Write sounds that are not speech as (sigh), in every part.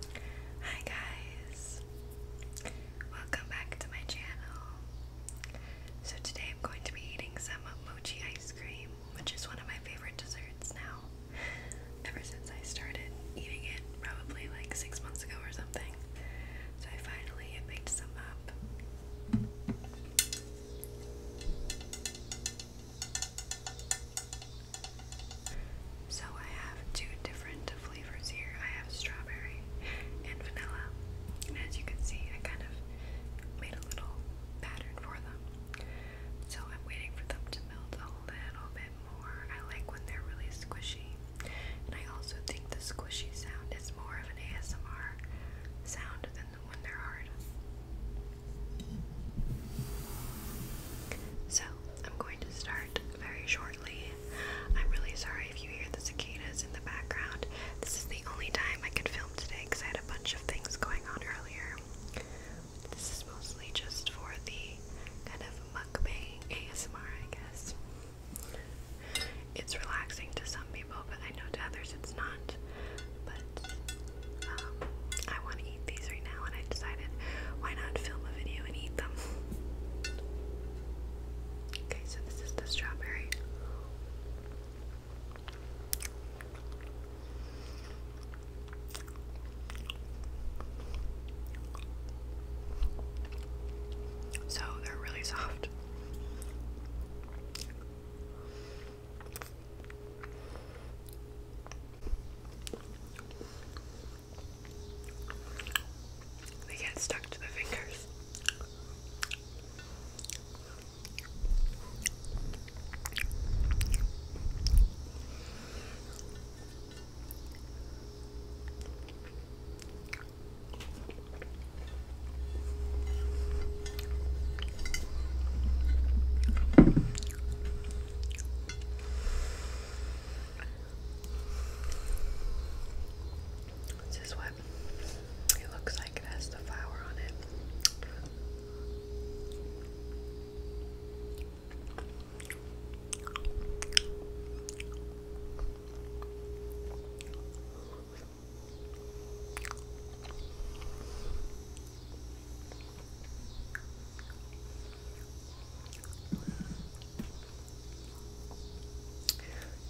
Hi guys! Welcome back to my channel. So today I'm going to be eating some mochi ice cream, which is one of my favorite desserts now. Ever since I started eating it, probably like six months ago or something. So I finally picked some up. So I have two different flavors here. I have strawberry and vanilla. And as you can see, I kind of made a little pattern for them. So I'm waiting for them to melt a little bit more. I like when they're really squishy. And I also think the squishy sound is more of an ASMR sound than the when they're hard. So I'm going to start very shortly. I'm really sorry if you hear the cicadas in the background. This is the only time I could film today because I had a bunch of things going on earlier. This is mostly just for the kind of mukbang ASMR, I guess. It's relaxing to some people, but I know to others it's not. But um, I want to eat these right now, and I decided why not film a video and eat them. (laughs) Okay, so this is the strawberry. So they're really soft. They get stuck to the fingers. This is what it looks like. It has the flower on it.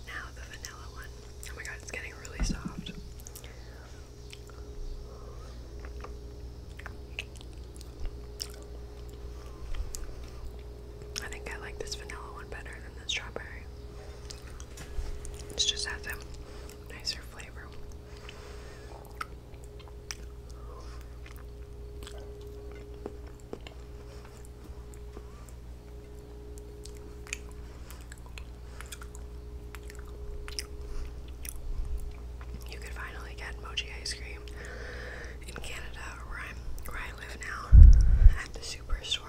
Now the vanilla one. Oh my god, it's getting really soft. I think I like this vanilla one better than the strawberry. It just has a nicer flavor. You can finally get mochi ice cream in Canada, where I'm, where I live now, at the superstore.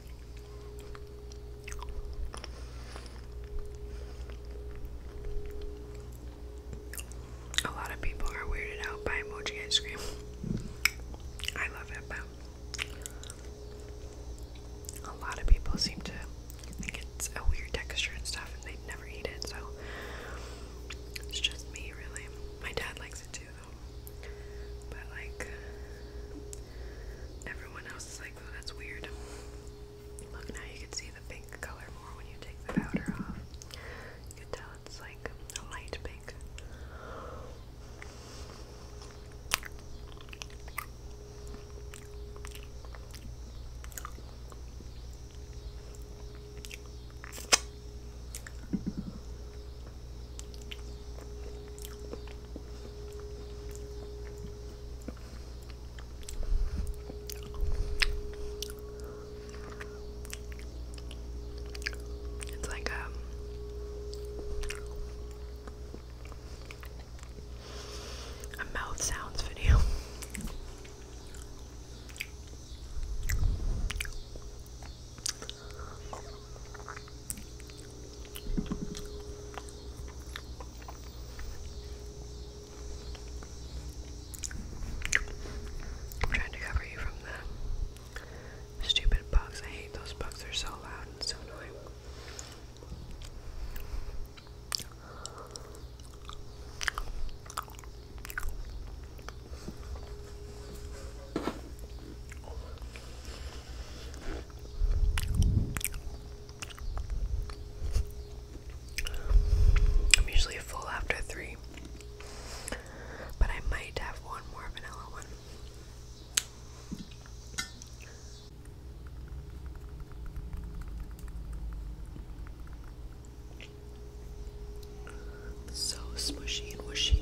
A lot of people are weirded out by emoji ice cream. I love it, but a lot of people seem to think it's a weird texture and stuff, and they never eat it, so it's just me, really. My dad likes it too, though. But, like, everyone else Oh, that's weird. Look, now you can see the pink color more when you take the powder off. You can tell it's like a light pink. It's like a um, a mouth sounds video. I'm trying to cover you from the stupid bugs. I hate those bugs, they're so loud and so annoying. I'm usually full after three, but I might have one more vanilla one. So smushy and wishy.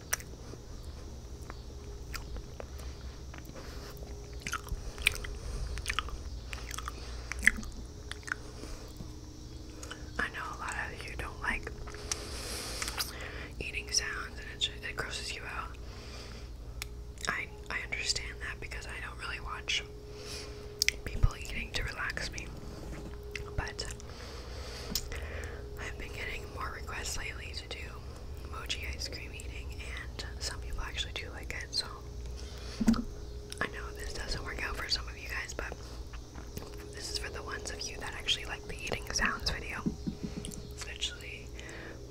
I know a lot of you don't like eating sounds and it, grosses you out. I I understand that because I don't really watch people eating to relax me. But I've been getting more requests lately to do mochi ice cream eating, and some people actually do like it. So I know this doesn't work out for some of you guys, but this is for the ones of you that actually like the eating sounds video. Especially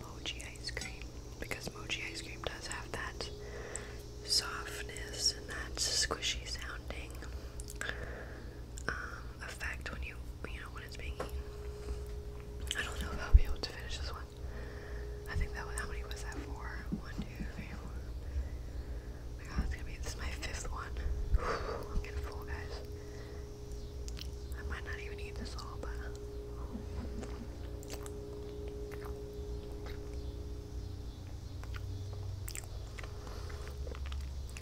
mochi ice cream because mochi ice cream does have that softness and that squishy sounding um, effect when you you know when it's being eaten. I don't know if I'll be able to finish this one. I think that one. How many was that for? One, two, three, four. my God, it's gonna be this is my fifth one. I'm getting full, guys. I might not even eat this all, but.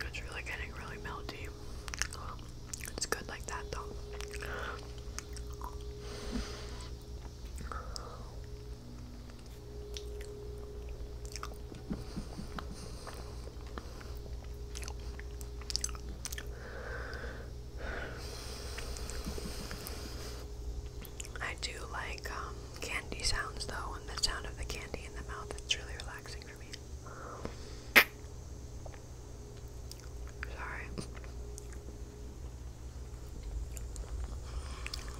It's really getting really melty. It's good like that though. I do like um, candy sounds though, and the sound of the candy in the mouth, it's really relaxing Sorry.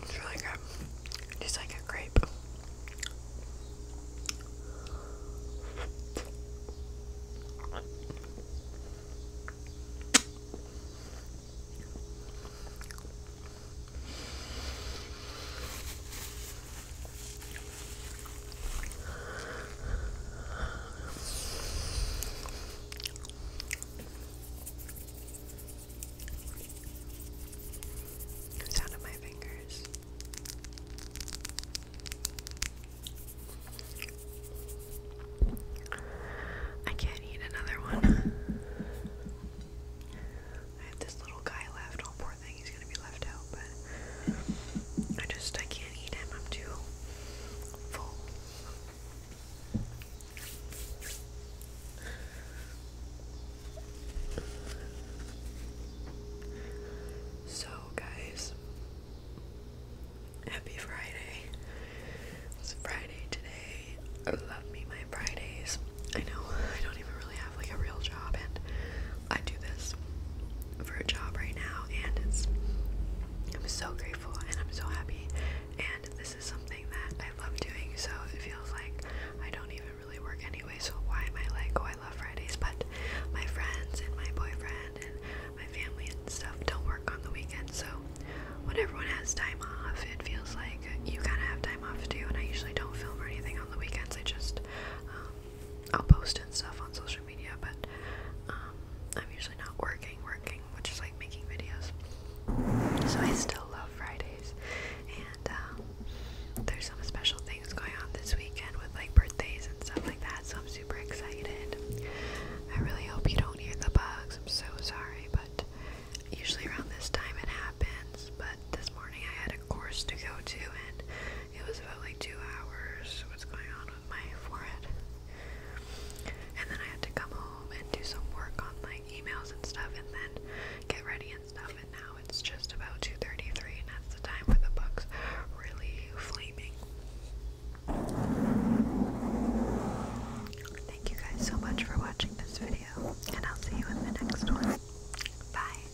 It's really good. Just like a grape. The of my fingers. I can't eat another one. (laughs) I have this little guy left, all poor poor thing, he's gonna be left out, but I just, I can't eat him, I'm too full. So, guys, happy Friday. It's Friday today. I love me my Fridays. I know I don't even really have like a real job, and I do this for a job right now and it's I'm so grateful and I'm so happy and this is something that I love doing so it feels like I don't even really work anyway so why am I like oh I love Fridays but my friends and my boyfriend and my family and stuff don't work on the weekend so when everyone has time off it feels like you kind of have time off too and I usually don't film or anything on the weekends I just um, I'll post and stuff on social but um, I'm usually not working, working, which is like making videos. So I still love Fridays, and um, there's some special things going on this weekend with like birthdays and stuff like that. So I'm super excited. I really hope you don't hear the bugs. I'm so sorry, but usually around this time it happens. But this morning I had a course to go to, and it was about like two hours. What's going on with my forehead? And then I had to come home and do some work on like emails and stuff, and then get ready and stuff. And now it's just about two thirty-three, and that's the time where the bug's really flaming. Thank you guys so much for watching this video, and I'll see you in the next one. Bye.